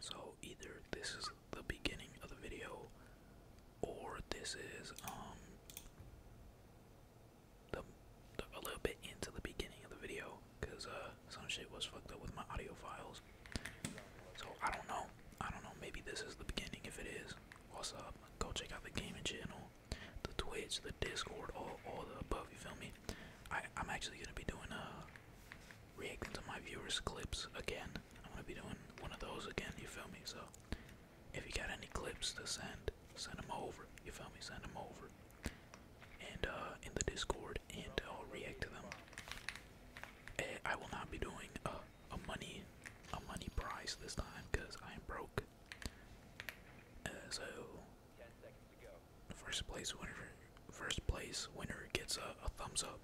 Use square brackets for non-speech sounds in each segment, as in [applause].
so either this is the beginning of the video or this is um the a little bit into the beginning of the video because uh some shit was fucked up with my audio files. So I don't know. I don't know, maybe this is the beginning if it is. What's up? Go check out the gaming channel, the Twitch, the Discord, all all the above, you feel me? I, am actually gonna be doing a uh, reacting to my viewers' clips again. I'm gonna be doing one of those again. You feel me? So if you got any clips to send, send them over. You feel me? Send them over. And uh, in the Discord, and I'll uh, react to them. And eh, I will not be doing a, money a money prize this time because I am broke. Uh, so. First place winner, first place winner gets a, thumbs up,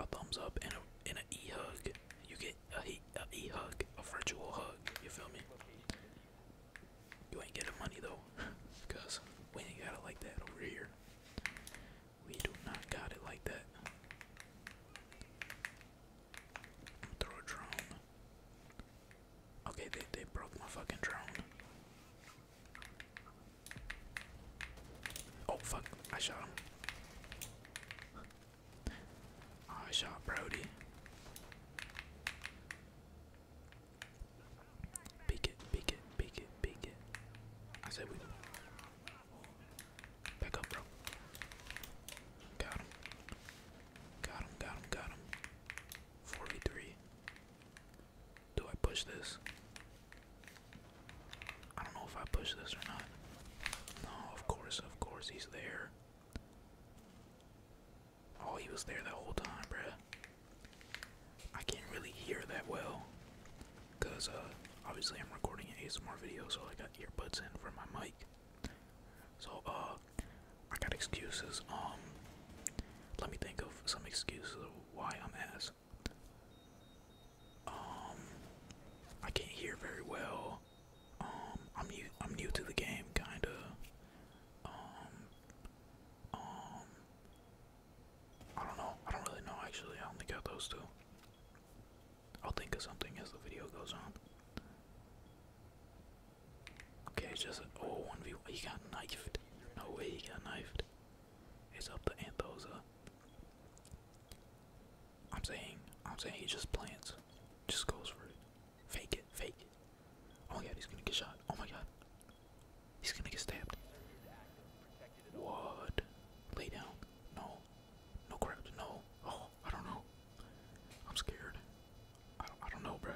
a thumbs up, and a and an hug. You get a e, a e hug, a virtual hug. You feel me? You ain't getting money though, [laughs] cause we ain't got it like that over here. We do not got it like that. Throw a drone. Okay, they, they broke my fucking drone. Oh fuck, I shot him. I shot Brody. Peek it, peek it, peek it, peek it. I said we back up, bro. Got him. Got him, got him, got him. 43. Do I push this? I don't know if I push this or not. No, of course, of course, he's there. Oh, he was there the whole time, bruh. I can't really hear that well. Because, uh, obviously I'm recording an ASMR video, so I got earbuds in for my mic. So, uh, I got excuses. Um, let me think of some excuses why I'm ass. Um, I can't hear very well. Um, I'm new. I'm new to the game, kinda. Um, um, I don't know. I don't really know actually. I only got those two. I'll think of something as the video goes on. Okay, just oh one v one. He got knifed. No way he got knifed. It's up to Anthosa. Uh. I'm saying, I'm saying he just plants, just goes for it. Fake it, fake it. Oh my god, he's gonna get shot. Oh my god, he's gonna get stabbed. What? Lay down. No, no crouch. No. Oh, I don't know. I'm scared. I don't, I don't know, bruh.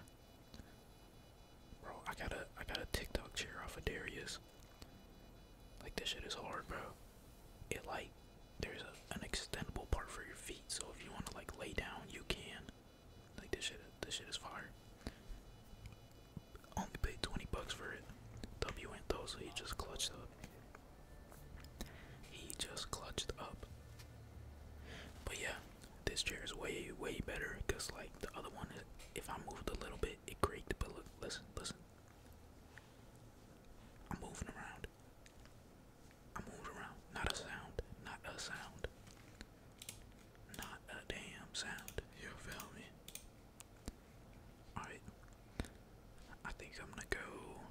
Bro, I got a I got a TikTok chair off of Darius. Like this shit is hard, bro. It like there's a, an extendable part for your feet, so if you want to like lay down, you can. Like this shit, this shit is fire. Only paid 20 bucks for it. W went so he just clutched up. He just clutched up. But yeah, this chair is way, way better because, like, the other one, if I moved a little bit, it creaked. But look, listen, listen. I'm moving around. I moved around. Not a sound. Not a sound. Not a damn sound. You feel me? Alright. I think I'm gonna go.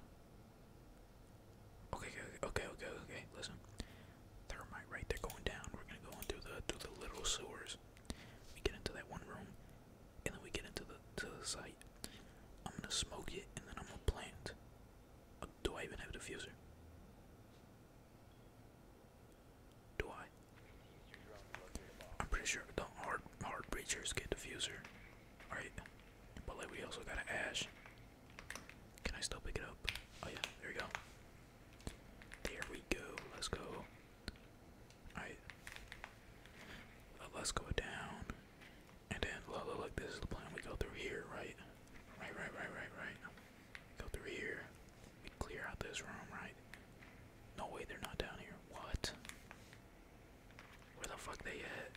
Okay, okay, okay, okay. Listen, thermite right there going down. We're gonna go into the through the little sewers. We get into that one room, and then we get into the to the site. I'm gonna smoke it, and then I'm gonna plant. Uh, do I even have a diffuser? Do I? I'm pretty sure the hard hard breachers get diffuser, All right? But like we also got an ash. Can I still pick it up? Oh yeah, there we go. There we go. Let's go. Alright. Let's go down. And then look, look, look, this is the plan. We go through here, right? Right, right, right, right, right. Go through here. We clear out this room, right? No way, they're not down here. What? Where the fuck they at?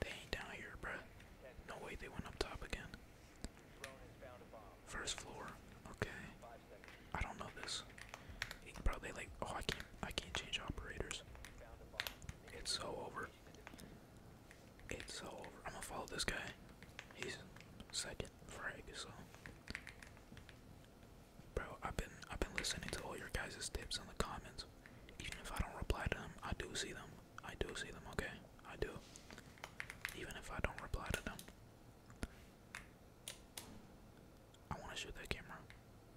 They ain't down here, bruh. No way they went up top again. First floor, okay. I don't know this. It probably like oh I can't I can't change operators. It's so over. It's so over. I'm gonna follow this guy. He's second frag, so Bro, I've been I've been listening to all your guys' tips in the comments. Even if I don't reply to them, I do see them. I do see them, okay? I do. Even if I don't reply to them. I want to shoot that camera,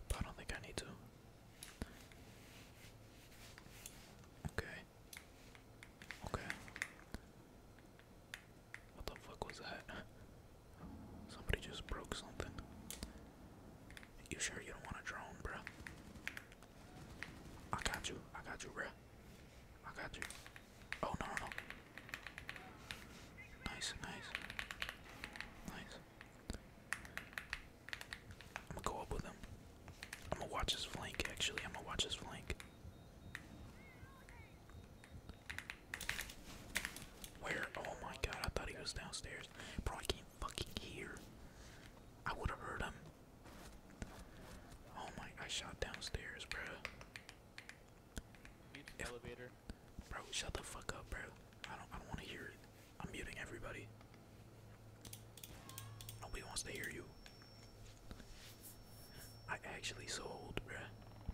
but I don't think I need to. Okay. Okay. What the fuck was that? Somebody just broke something. You sure you don't want a drone, bro? I got you. I got you, bruh. I got you. Oh, no, no, no. Nice, nice. Nice. I'm gonna go up with him. I'm gonna watch his flank, actually. I'm gonna watch his flank. Where? Oh my god, I thought he was downstairs. Probably can't fucking hear. I would have heard him. Oh my! I shot downstairs, bro. elevator. Bro, shut the fuck up, bro. I don't. I don't want to hear it. I'm muting everybody. Nobody wants to hear you. I actually sold, bruh.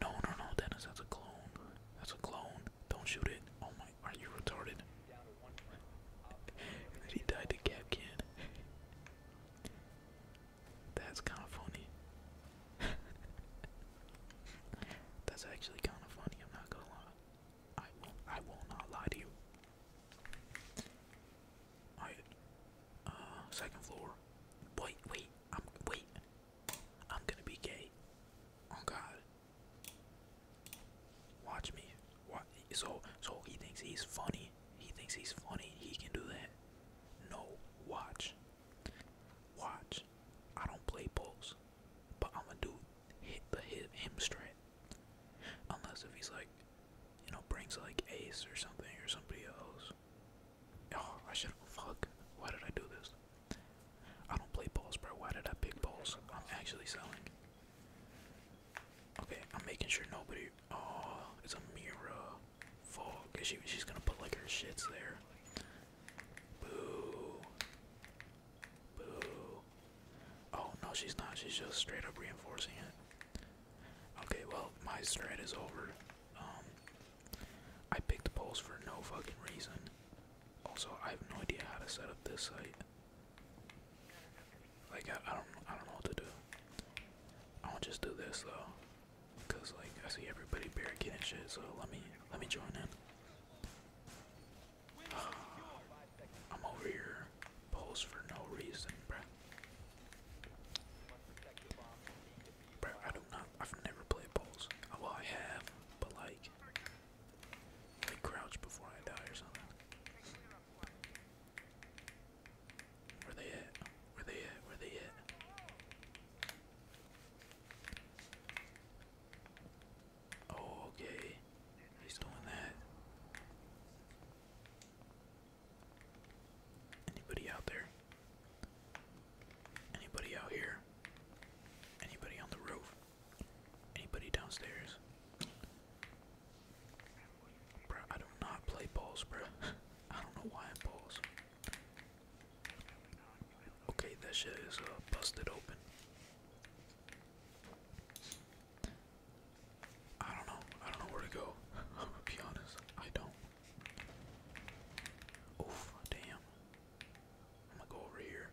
No, no, no, Dennis, that's a clone. That's a clone. Don't shoot it. Oh my, are you retarded? and he died to Cap That's kind of funny. [laughs] That's actually kind of funny. I'm not gonna lie. I will I will not lie to you. Alright. Uh, second floor. Wait, wait. I'm wait. I'm gonna be gay. Oh God. Watch me. So, so he thinks he's funny. He thinks he's funny. He can do that. No, watch. Watch. I don't play balls, but I'm gonna do hit the hit him straight. Unless if he's like, you know, brings like Ace or something or somebody else. Oh, I should. have. Fuck. Why did I do this? I don't play balls, bro. Why did I pick balls? I'm actually selling. Okay, I'm making sure nobody. Oh, uh, it's a mirror. Fuck, she, she's gonna put like her shits there. Boo. Boo. Oh no, she's not. She's just straight up reinforcing it. Okay, well my strat is over. Um, I picked poles for no fucking reason. Also, I have no idea how to set up this site. Like I, don't I don't know what to do. I will just do this though, cause like I see everybody barricading shit. So let me let me join in. [sighs] I'm over here, pose for no reason, bruh. Bro, I do not. I've never played poles. Well, I have, but like, like crouch before I die or something. Where they at? Where they at? Where they at? Oh, okay. He's doing that. Anybody out there? Anybody out here? Anybody on the roof? Anybody downstairs? Bro, I do not play balls, bro. [laughs] I don't know why I balls. Okay, that shit is uh, busted open. I don't know. I don't know where to go. i [laughs] I don't. Oof, damn. I'm gonna go over here.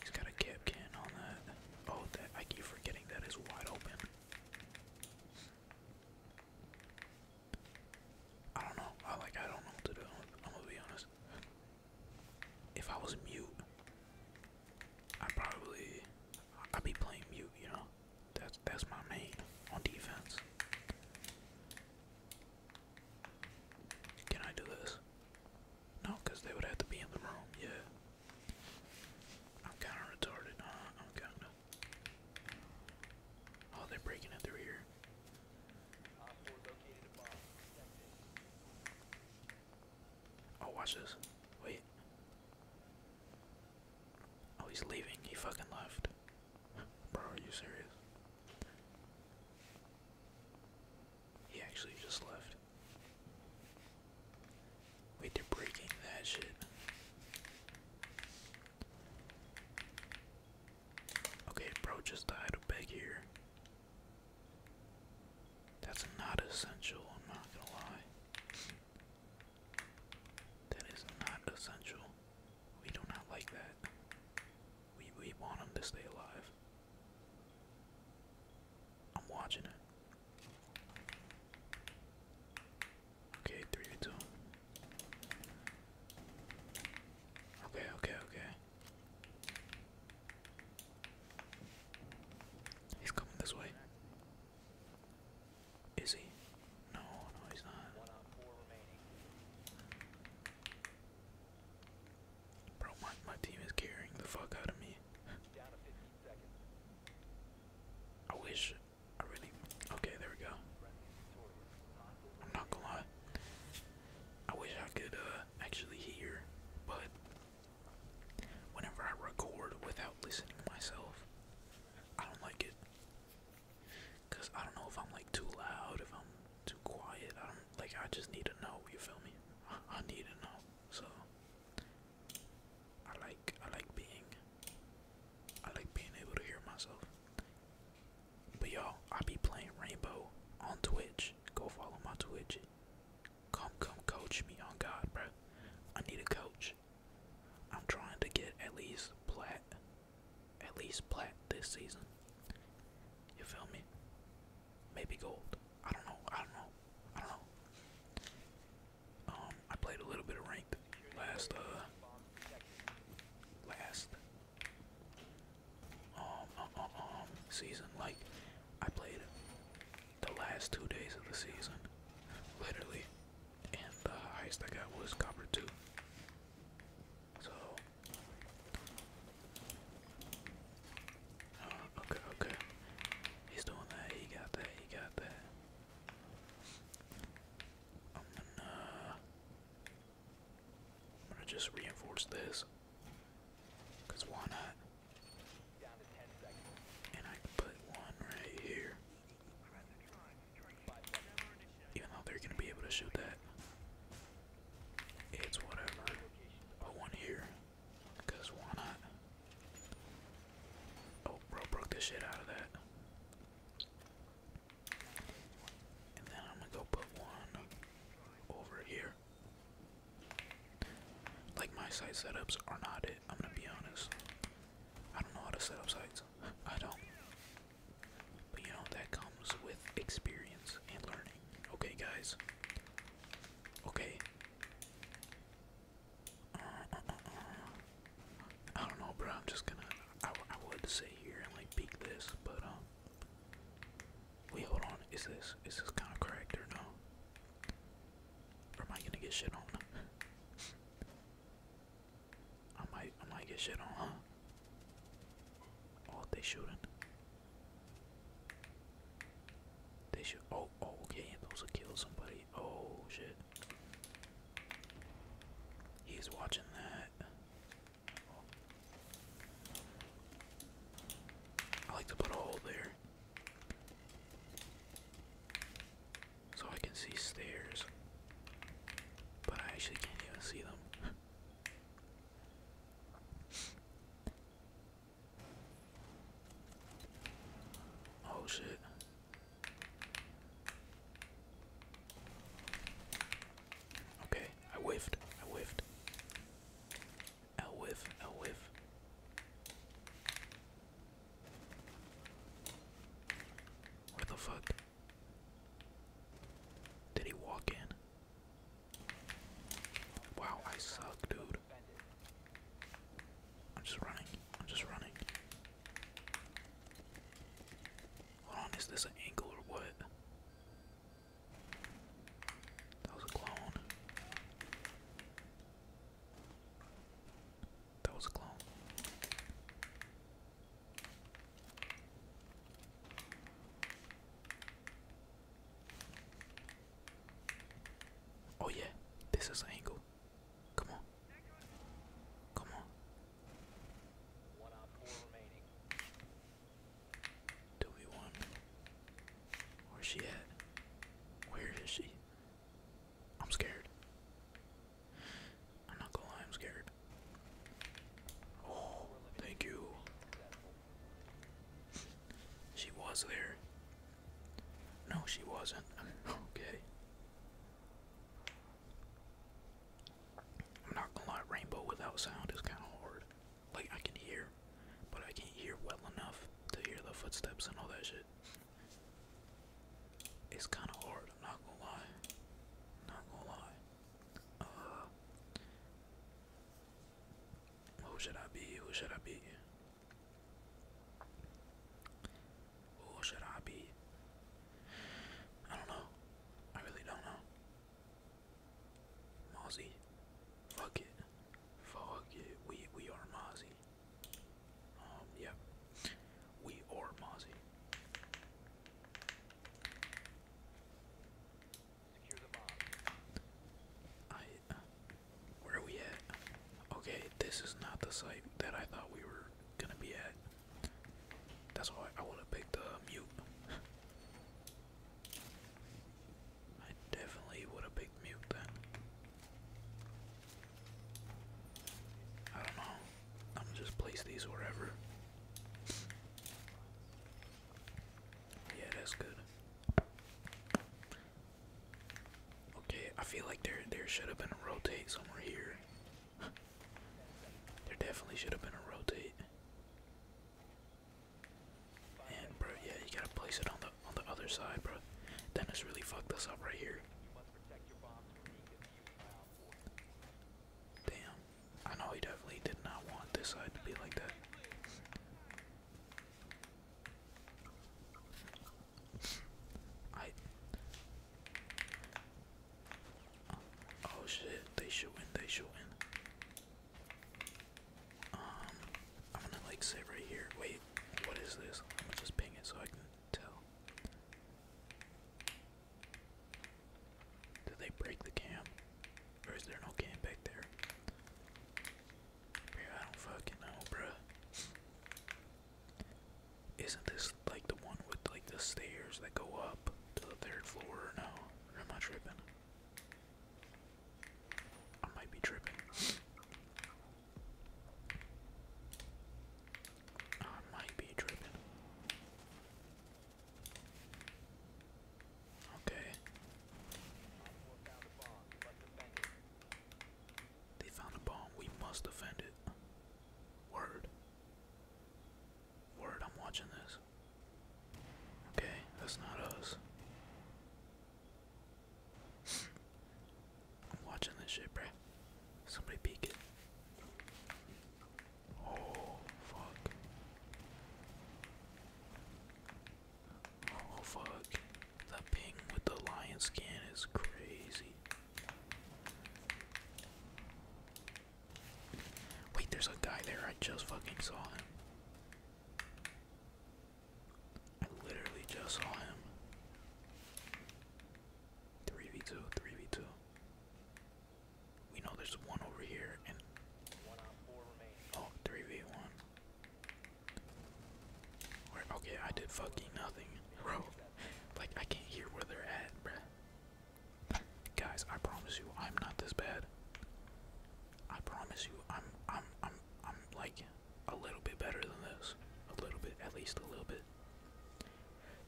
He's got a cap can on that. Oh, that I keep forgetting that is wide open. I don't know. I like I don't know to do. I'm gonna be honest. If I was mute, I probably I'd be playing mute. You know, that's that's my main on defense. Can I do this? No, because they would have to be in the room. Yeah. I'm kind of retarded, Oh, they're breaking it through here. Oh, watch this. Wait. Oh, he's leaving. He fucking left. Bro, are you serious? He actually just left. Wait, they're breaking that shit. Okay, bro just died a beg here. That's not essential, I'm not gonna lie. That is not essential. We do not like that. We we want them to stay alive. I'm watching it. Okay, three two. Okay, okay, okay. He's coming this way. Is he? No, no, he's not. Bro, my, my team is carrying the fuck out of me. I wish. I really. Okay, there we go. I'm not gonna lie. I wish I could uh, actually hear, but whenever I record without listening myself, I don't like it. Cause I don't know if I'm like too loud, if I'm too quiet. I do like. I just need to know. You feel me? I need to know. So I like I like being I like being able to hear myself. But y'all, I be playing Rainbow on Twitch. Go follow my Twitch. Come come coach me on oh God, bro. I need a coach. I'm trying to get at least plat at least plat this season. You feel me? maybe gold. I don't know. I don't know. I don't know. Um, I played a little bit of ranked last uh last um um um season. Like I played the last two days of the season, literally, and the highest I got was copper two. So okay, okay. He's doing that. He got that. He got that. I'm gonna, I'm gonna just reinforce this. Cause why not? And I put one right here. Even though they're gonna be able to shoot that, it's whatever. Put one here. Because why not? Oh, bro, broke the shit out of that. And then I'm gonna go put one over here. Like my site setups are not it, I'm gonna be honest. I don't know how to set up sites. I don't. But you know, that comes with experience and learning. Okay, guys. Okay, I don't know, bro. I'm just gonna. I, would sit here and like peek this, but um. Wait, hold on. Is this is this kind of correct or no? am I gonna get shit on? [laughs] I might I might get shit on, huh? Oh, they shooting. They should. Oh, oh, okay. I'm supposed to kill somebody. Oh, shit. He's watching that. I like to put a hole there. So I can see stairs. But I actually can't even see them. [laughs] Oh shit. Okay, I whiffed. I whiffed. I whiff. I whiff. What the fuck? Did he walk in? Wow, I suck, dude. I'm just running. I'm just running. Hold on, is this an angle or what? That was a clone. That was a clone. Oh yeah, this is an angle. Come on. Come on. One Where's she at? Where is she? I'm scared. I'm not gonna lie, I'm scared. Oh, thank you. She was there. No, she wasn't. [laughs] okay. I'm not gonna lie, rainbow without sound is kinda hard. Like, I can hear, but I can't hear well enough to hear the footsteps and all that shit. It's kinda hard, not gonna lie. Not gonna lie. Uh, who should I be? Who should I be? Who should I be? don't know. I really don't know. Mozzie. Fuck it. Fuck it. We we are Mozzie. Um Yeah. We are Mozzie. I. Uh, where are we at? Okay, this is not the site that I thought we were gonna be at. That's why I wanna pick the uh, mute. I definitely would have picked mute then. I don't know. I'm gonna just place these wherever. Yeah, that's good. Okay, I feel like there there should have been a rotate somewhere here. there definitely should have been a rotate. And bro, yeah, you gotta place it on the on the other side, bro. Dennis really fucked us up right here. Damn, I know he definitely did not want this side to be like that. Oh shit! They should win. They should win. Um, I'm gonna like sit right here. Wait, what is this? I'm just ping it so I can tell. Did they break the cam? Or is there no game back there? I don't fucking know, bruh. Isn't this like the one with like the stairs that go up to the third floor or no? i am tripping? I might be tripping. I might be tripping. Okay. They found a bomb. We must defend it. Word. Word, I'm watching this. Okay, that's not us. [laughs] I'm watching this shit, bruh. Somebody peek Oh, fuck. Oh fuck. The ping with the lion skin is crazy. Wait, there's a guy there. I just fucking saw him. I literally just saw him. 3v2, 3v2. We know there's one over here and. One oh, v one okay, I did fucking nothing, bro. Like, I can't hear where they're at, bruh. Guys, I promise you, I'm not this bad. I promise you, I'm, I'm, I'm, I'm like a little bit better than this. A little bit, at least a little bit.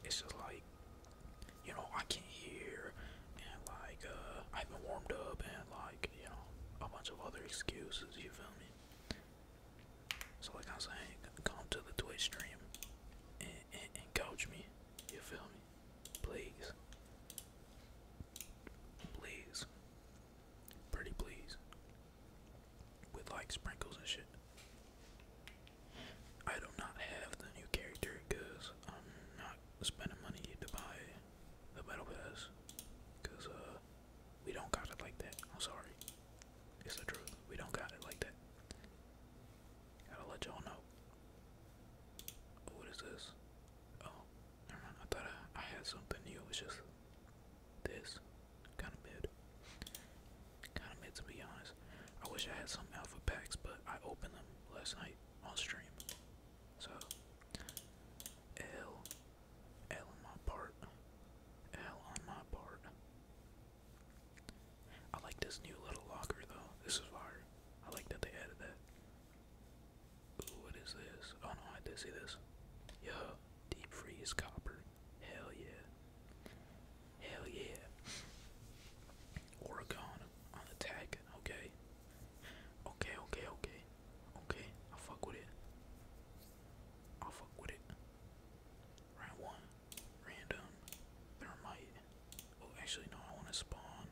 It's just like, you know, I can't hear, and like, uh, I haven't warmed up, and like, you know, a bunch of other excuses, you feel me? So like I'm saying, come to the Twitch stream and coach me, you feel me? Please. Please. Pretty please. With like sprinkles and shit. I do not have the new character because I'm not spending money to buy the metal us, cause uh, we don't got it like that. I'm sorry, it's the truth. We don't got it like that. Gotta let y'all know. What is this? Oh, I thought I, I had something new. It's just this, kind of mid, kind of mid to be honest. I wish I had some alpha packs, but I opened them last night on stream. So L L on my part. L on my part. I like this new little locker though. This is hard. I like that they added that. Ooh, what is this? Oh no, I did see this. Yo, deep freeze copper. Hell yeah. Hell yeah. Oregon on attack. Okay. Okay, okay, okay. Okay, I'll fuck with it. I'll fuck with it. Round one. Random. Thermite. Oh, actually, no, I want to spawn.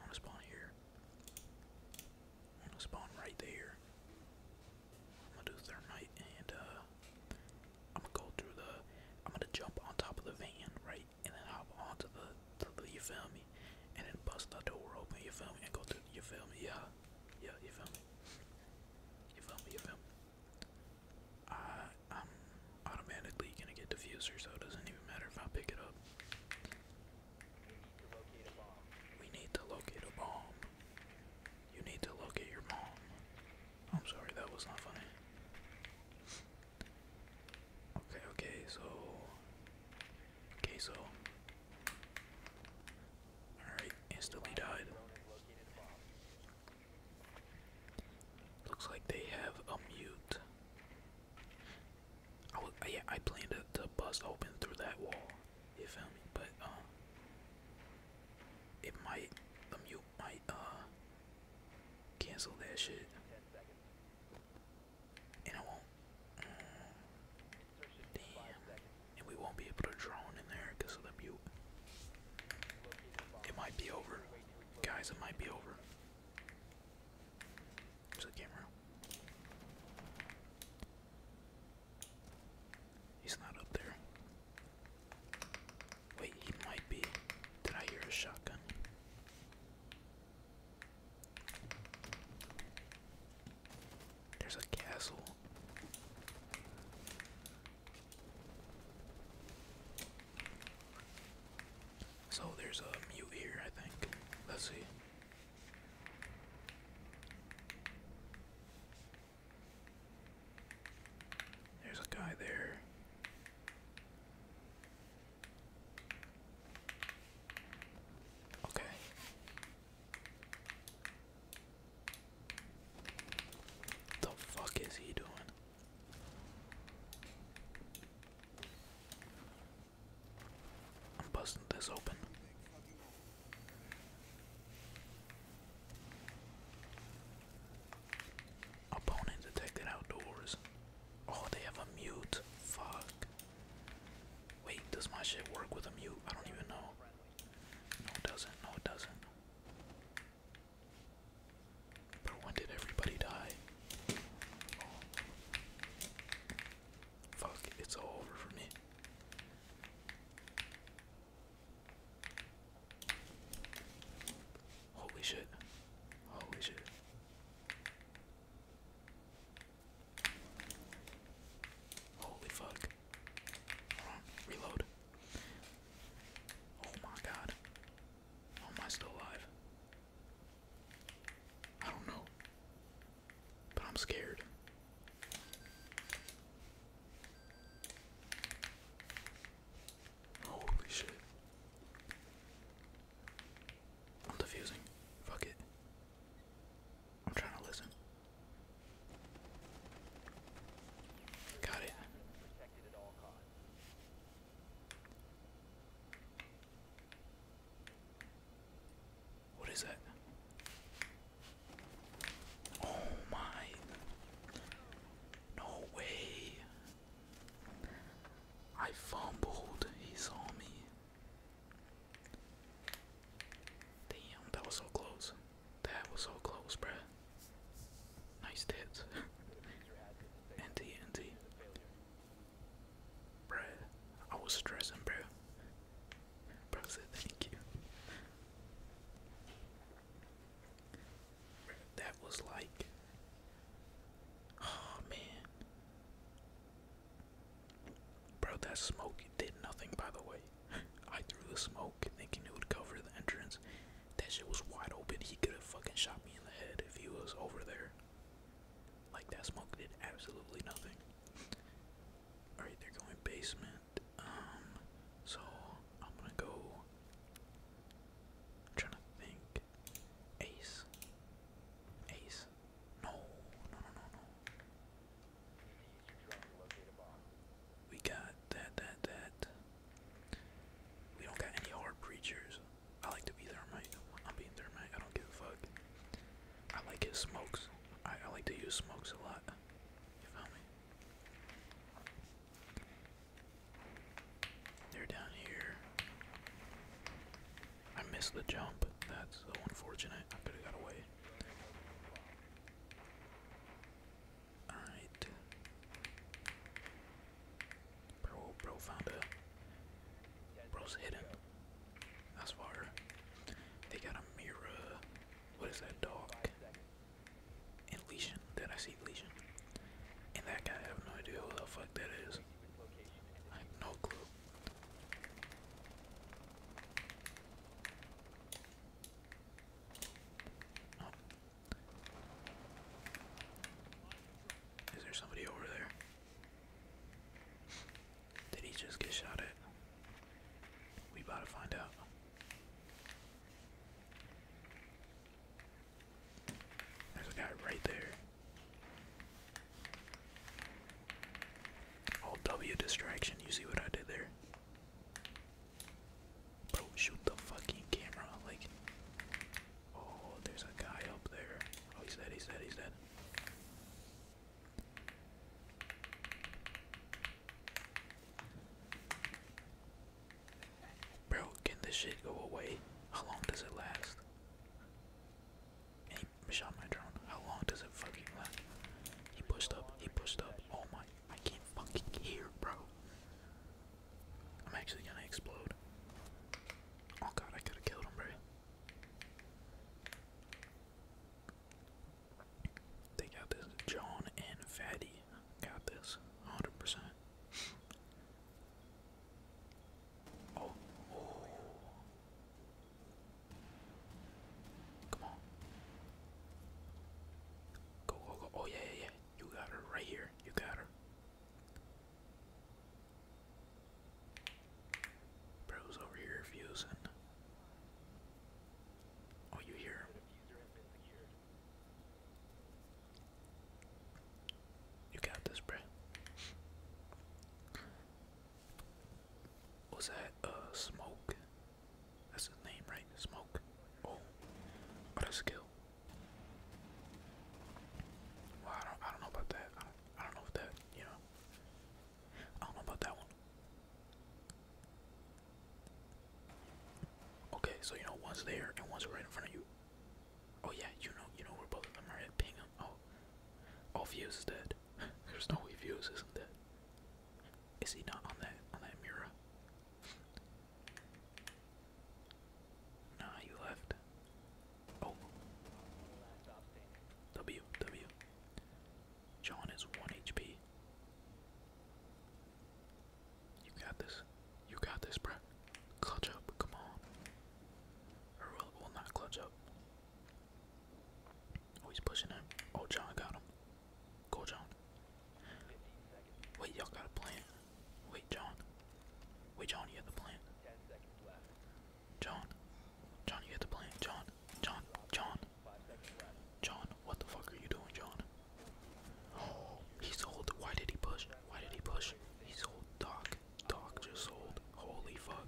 I want to spawn here. I want to spawn right there. I'm gonna do thermite and, uh, I'm gonna go through the. I'm gonna jump on top of the van, right? and then hop onto the, you feel me, and then bust the door open, you feel me, and go through, you feel me, yeah, yeah, you feel me, you feel me, you feel me. I, am automatically gonna get diffuser, so doesn't even matter if I pick it up. We need to locate a bomb. You need to locate your mom. I'm sorry, that was not funny. Okay, okay, so okay, so Alright, instantly died. Looks like they have a mute. Oh yeah, I planned to, bust open through that wall, you feel me? But uh, it might the mute might uh cancel that shit and I won't. Uh, damn. And we won't be able to drone in there because of the mute. It might be over. Guys, it might be over. There's the camera. He's not up there. Wait, he might be. Did I hear a shotgun? There's a castle. So there's a mute here, I think. Let's see. There's a guy there. Okay. The fuck is he doing? I'm busting this open. Opponent detected outdoors. Oh, they have a mute. Fuck. Wait, does my shit work with a mute? I don't even know. No, it doesn't. No, it doesn't. But when did everybody die? Fuck, it's all over for me. Holy shit. Holy shit. Holy fuck. reload. Oh my god. How am I still alive? I don't know. But I'm scared. Holy shit. I'm defusing. Fuck it. I'm trying to listen. Got it. What is that? Oh my. No way. I fumbled. He saw me. Damn, that was so close. That was so close, bruh. Nice hits. [laughs] NT, NT. Bruh, I was stressing, bro. Bro said thank you. that was like. Oh man. Bro, that smoke did nothing, by the way. I threw the smoke thinking it would cover the entrance. That shit was wide open. He could have fucking shot me in the head if he was over there. Like, that smoke did absolutely nothing. Alright, they're going basement. Um, so I'm gonna go. trying to think. Ace. Ace. No, no, no, no, no. We got that, that, that. We don't got any hard preachers. I like to be thermite. I'm being thermite. I don't give a fuck. I like his smokes. I, I like to use smokes a lot. You feel me? They're down here. I missed the jump. That's so unfortunate. I could have got away. Alright. Bro, bro found a. Bro's hidden. That's fire. They got a mirror. What is that dog? And Did I see Legion? And that guy, I have no idea who the fuck that is. I have no clue. Oh. Is there somebody over there? Did he just get shot at? We about to find out. There's a guy right there. All W distraction. You see what I did there? Bro, shoot the fucking camera. Like, oh, there's a guy up there. Oh, he's dead, he's dead, he's dead. Bro, can this shit go away? How long does it last? he shot my drone. How long does it fucking last? He pushed up. He pushed up. Oh my. I can't fucking hear, bro. I'm actually gonna explode. Oh god, I could have killed him, bro. They got this. John and Fatty got this. 100 Oh. Come on. Go, go, go. Oh, yeah, yeah, yeah. You got her right here. You got her. Bro's over here fusing. Oh, you hear you got this, bro. Was that uh, smoke? That's his name, right? Smoke. Oh, what oh, a skill. Well, I don't, I don't know about that. I don't, I don't know if that, you know. I don't know about that one. Okay, so you know one's there and one's right in front of you. Oh yeah, you know, you know we're both of them are at. Ping them. Oh, oh, Views is dead. [laughs] There's no way Views isn't theres he not on that on that mirror? Nah, you left. Oh. W W. John is one HP. You got this. You got this, bro. Clutch up. Come on. Or will, will not clutch up. Oh, he's pushing him. Oh, John got him. Go, John. Wait, y'all got a plant. Wait, John. Wait, John, you got the plant. John. John, you got the plant. John. John. John. John, what the fuck are you doing, John? Oh, [gasps] he sold. Why did he push? Why did he push? He sold Doc. Doc just sold. Holy fuck.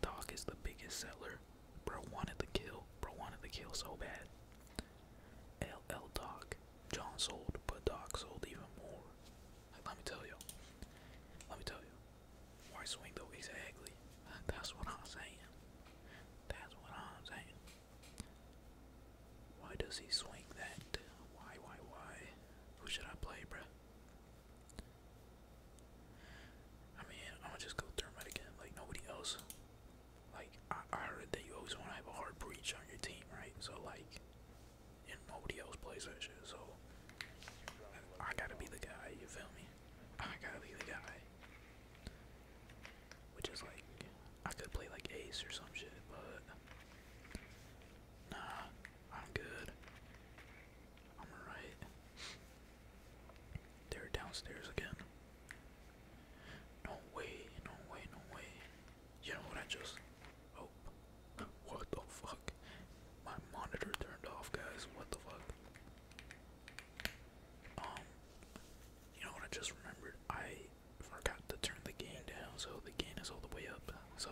Doc is the biggest seller. Bro wanted to kill. Bro wanted to kill so bad. L L Doc. John sold, but Doc sold even more. Like, let me tell you. Let me tell you. Why swing though? Exactly. That's what I'm saying. That's what I'm saying. Why does he swing that? Why, why, why? Who should I play, bruh? I mean, I'm gonna just go thermite again, like nobody else. Like, I, I heard that you always want to have a hard breach on your team, right? So, like, nobody else plays that shit, so I gotta be the guy, you feel me? I gotta be the guy. Which is like, I could play like ace or some shit, but Nah, I'm good. I'm alright. They're downstairs again. No way, no way, no way. You know what I just. Oh. What the fuck? My monitor turned off, guys. What the fuck? Um. You know what I just remembered? I forgot to turn the gain down, so the gain is all the way up. So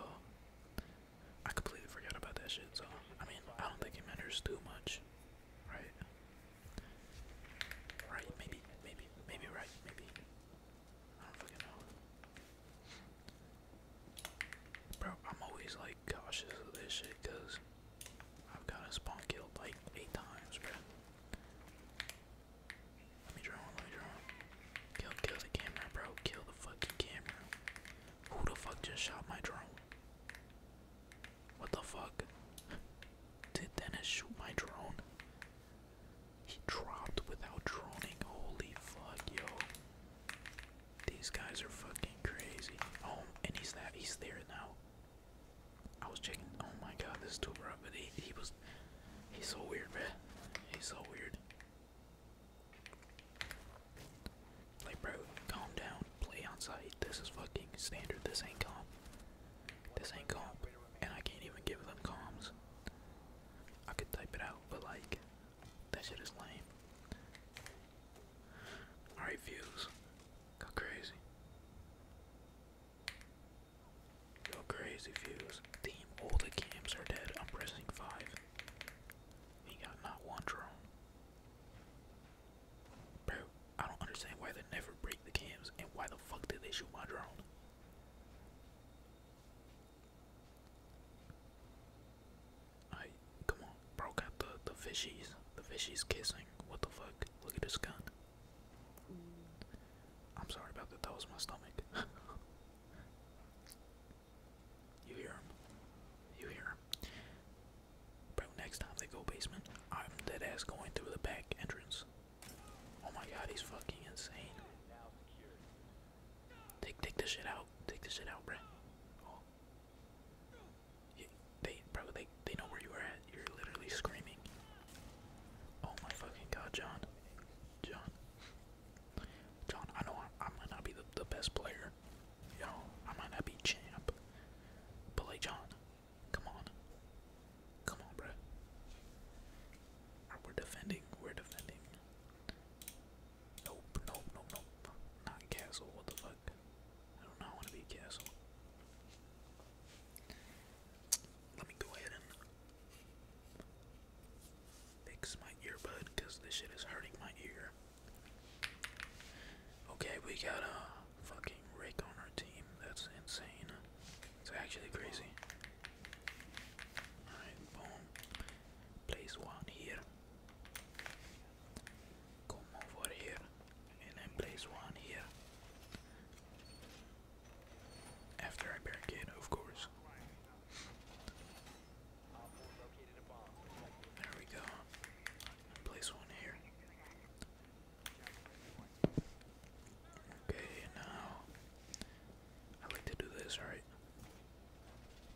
I completely forgot about that shit. So I mean, I don't think it matters too much, right? Right? Maybe, maybe, maybe right? Maybe I don't fucking know. Bro, I'm always like cautious of this shit because I've gotten spawn killed like eight times, bro. Let me draw let me draw Kill, kill the camera, bro. Kill the fucking camera. Who the fuck just shot my drone? What the fuck? [laughs] Did Dennis shoot my drone? He dropped without droning. Holy fuck, yo. These guys are fucking crazy. Oh, and he's that. He's there now. I was checking. Oh my god, this is too rough. But he, he was. He's so weird, man. He's so weird. Like, bro, calm down. Play on site. This is fucking standard. This ain't calm. This ain't calm. And I can't even give them comms. I could type it out, but like, that shit is lame. Alright, views. Go crazy. Go crazy, Fuse. Team, all the games are dead. I'm pressing 5. He got not one drone. Bro, I don't understand why they never break the cams and why the fuck did they shoot my drone? I come on, bro got the the fishies. The fishies kissing. What the fuck? Look at this gun. I'm sorry about that, that was my stomach. [laughs] You hear him. You hear him. Bro, next time they go basement, I'm dead ass going through the back entrance. Oh my god, he's fucking insane. Take take this shit out. Take this shit out, bro. they bro, they they know where you are at. You're literally screaming. Oh my fucking god, John. John. John, I know I, I might not be the, the best player. You know, I might not be champ. But, like, John, come on. Come on, bro. We're defending. We're defending. Nope, nope, nope, nope. Not castle. What the fuck? I do not want to be castle. Let me go ahead and fix my earbud because this shit is hurting my ear. Okay, we got a fucking Rick on our team. That's insane. It's actually crazy. Alright, boom. Place one here. Come over here. And then place one here. After I barricade, of course. There we go. Place one here. Okay, now I like to do this, right?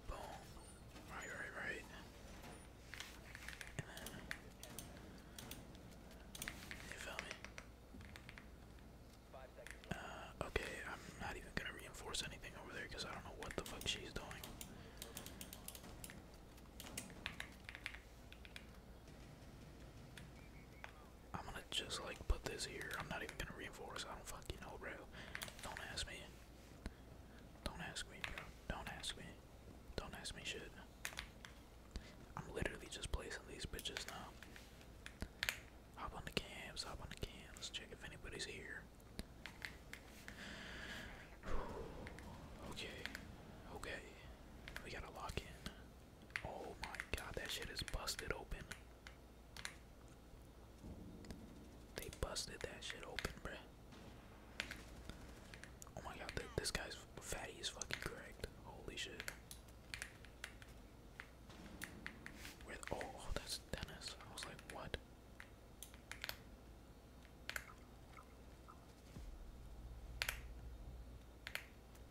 Boom. Right, right, right. you feel me? Uh, okay, I'm not even gonna reinforce anything over there because I don't know what the fuck she's doing. I'm gonna just like put this here. I'm not even gonna reinforce. I don't fucking know, bro. Don't ask me. Don't ask me, bro. Don't ask me. Don't ask me shit. I'm literally just placing these bitches now. Hop on the cams, hop on the cams. Let's check if anybody's here. [sighs] Okay, okay. We gotta lock in. Oh my god, that shit is busted open. They busted that shit open, bro. Oh my god, this guy's fatty is fucking correct. Holy shit. With oh, oh, that's Dennis. I was like, what?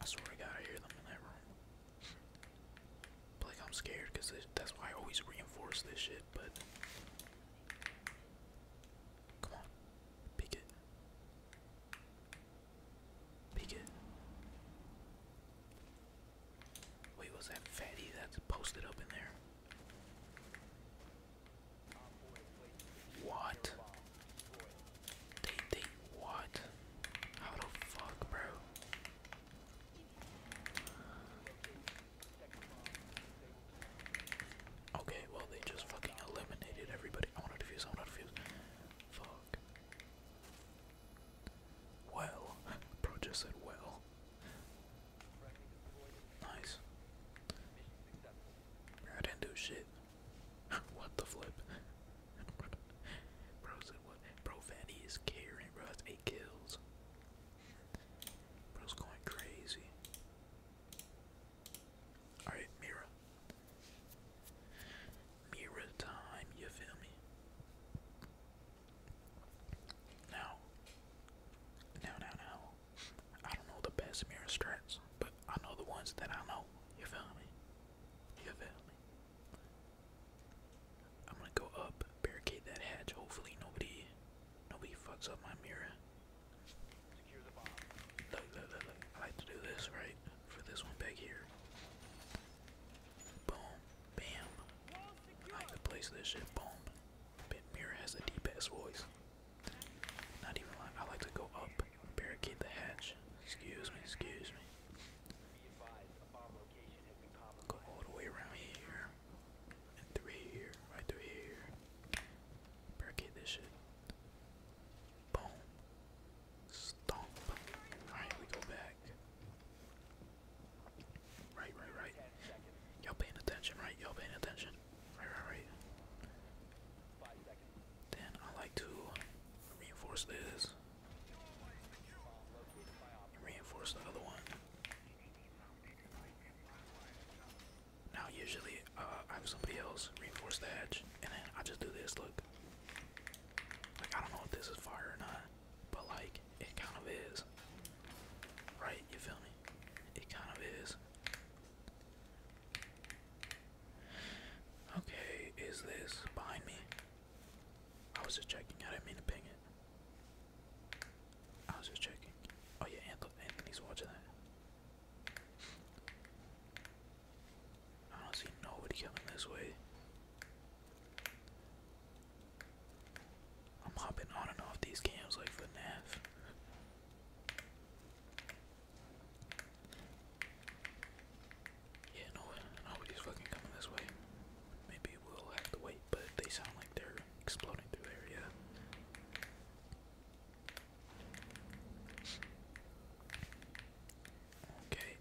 I swear to God, I hear them in that room. but like I'm scared because that's why I always reinforce this shit. But come on, pick it. Wait, was that fatty that's posted up in there? What? They, they, what? How the fuck, bro? Okay, well, they just fucking eliminated everybody. I want to defuse, I want to defuse. Fuck. Well, bro just said well. Nice. I didn't do shit. [laughs] what the flip? bro said what? Bro, is carrying, bro. That's eight kills. Bro's going crazy. Alright, Mira, Mirror time, you feel me? Now, now, now, now, I don't know the best mirror strats, but I know the ones that I know, you feel me? You feel me? I'm gonna go up, barricade that hatch, hopefully nobody, nobody fucks up my mirror. Look, look, look, look, I like to do this, right? for this one back here. Boom. Bam. I can place this shit. Boom. Mirror has the deepest voice. Not even like I like to go up, barricade the hatch. Excuse me, excuse me. Go all the way around here. And through here, right through here. Barricade this shit. Boom. Stomp. Alright, we go back. Right, right, right. Y'all paying attention, right? Y'all paying attention. Right, right, right. Then I like to reinforce this. Reinforce the other one. Now usually uh, I have somebody else reinforce the edge, and then I just do this. Look, like I don't know if this is fire or not, but like it kind of is. Right, you feel me? It kind of is. Okay, is this behind me? I was just checking, I didn't mean to ping it. I was just checking. Oh yeah, Anthony's watching that. I don't see nobody coming this way. I'm hopping on and off these cams like for NAF. Yeah, no, nobody's fucking coming this way. Maybe we'll have to wait, but they sound like they're exploding through there, yeah. Okay,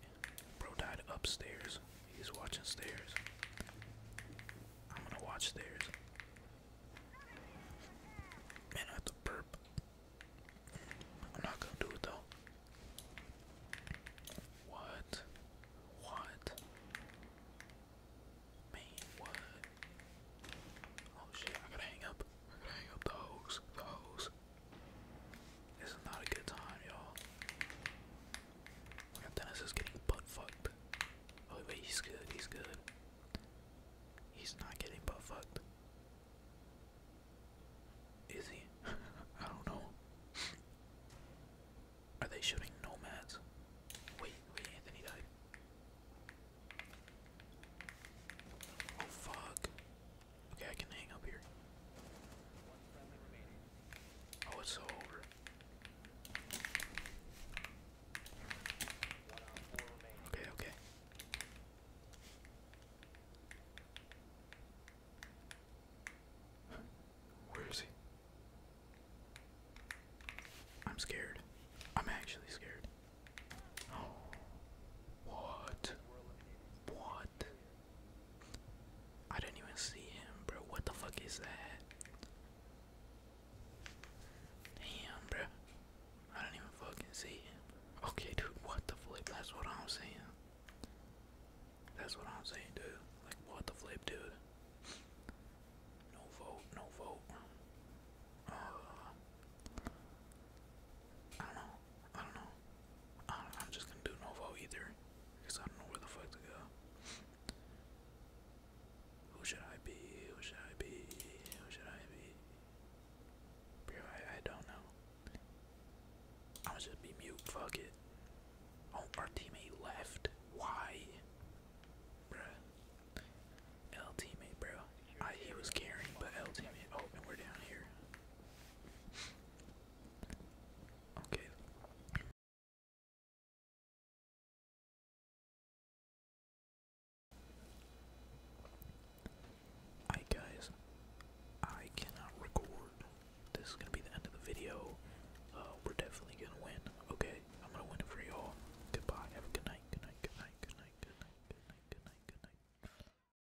bro died upstairs. He's watching stairs. I'm gonna watch stairs. Man, I have to burp. I'm not gonna do it though. What? What? Man, what? Oh shit, I gotta hang up. hang up the hose. The hose. This is not a good time, y'all. Dennis is getting butt fucked. Oh wait, he's good, he's good. He's not getting butt fucked. Is he? [laughs] I don't know. Are they shooting nomads? Wait, wait, Anthony died. Oh fuck. Okay, I can hang up here. Oh, it's over. Okay, okay. Where is he? I'm scared. I'm actually scared. Oh. [gasps] What? What? I didn't even see him, bro. What the fuck is that? Damn, bro. I didn't even fucking see him. Okay, dude, what the flip? That's what I'm saying. That's what I'm saying, dude. Like, what the flip, dude? No vote, no vote. Uh, I don't know. I don't know. I am just gonna do Novo either, because I don't know where the fuck to go. Who should I be? Who should I be? Who should I be? Bro, I, don't know. I'ma be mute. Fuck it. Oh, our teammate left. Why? Bruh. L teammate, bro. I, he was caring, but L teammate. Oh, and we're down here. Okay. Hi guys, I cannot record. This is gonna be the end of the video. Uh, we're definitely gonna win. Okay, I'm gonna win it for y'all. Goodbye. Have a good night. Good night. Good night. Good night. Good night. Good night. Good night. Good night.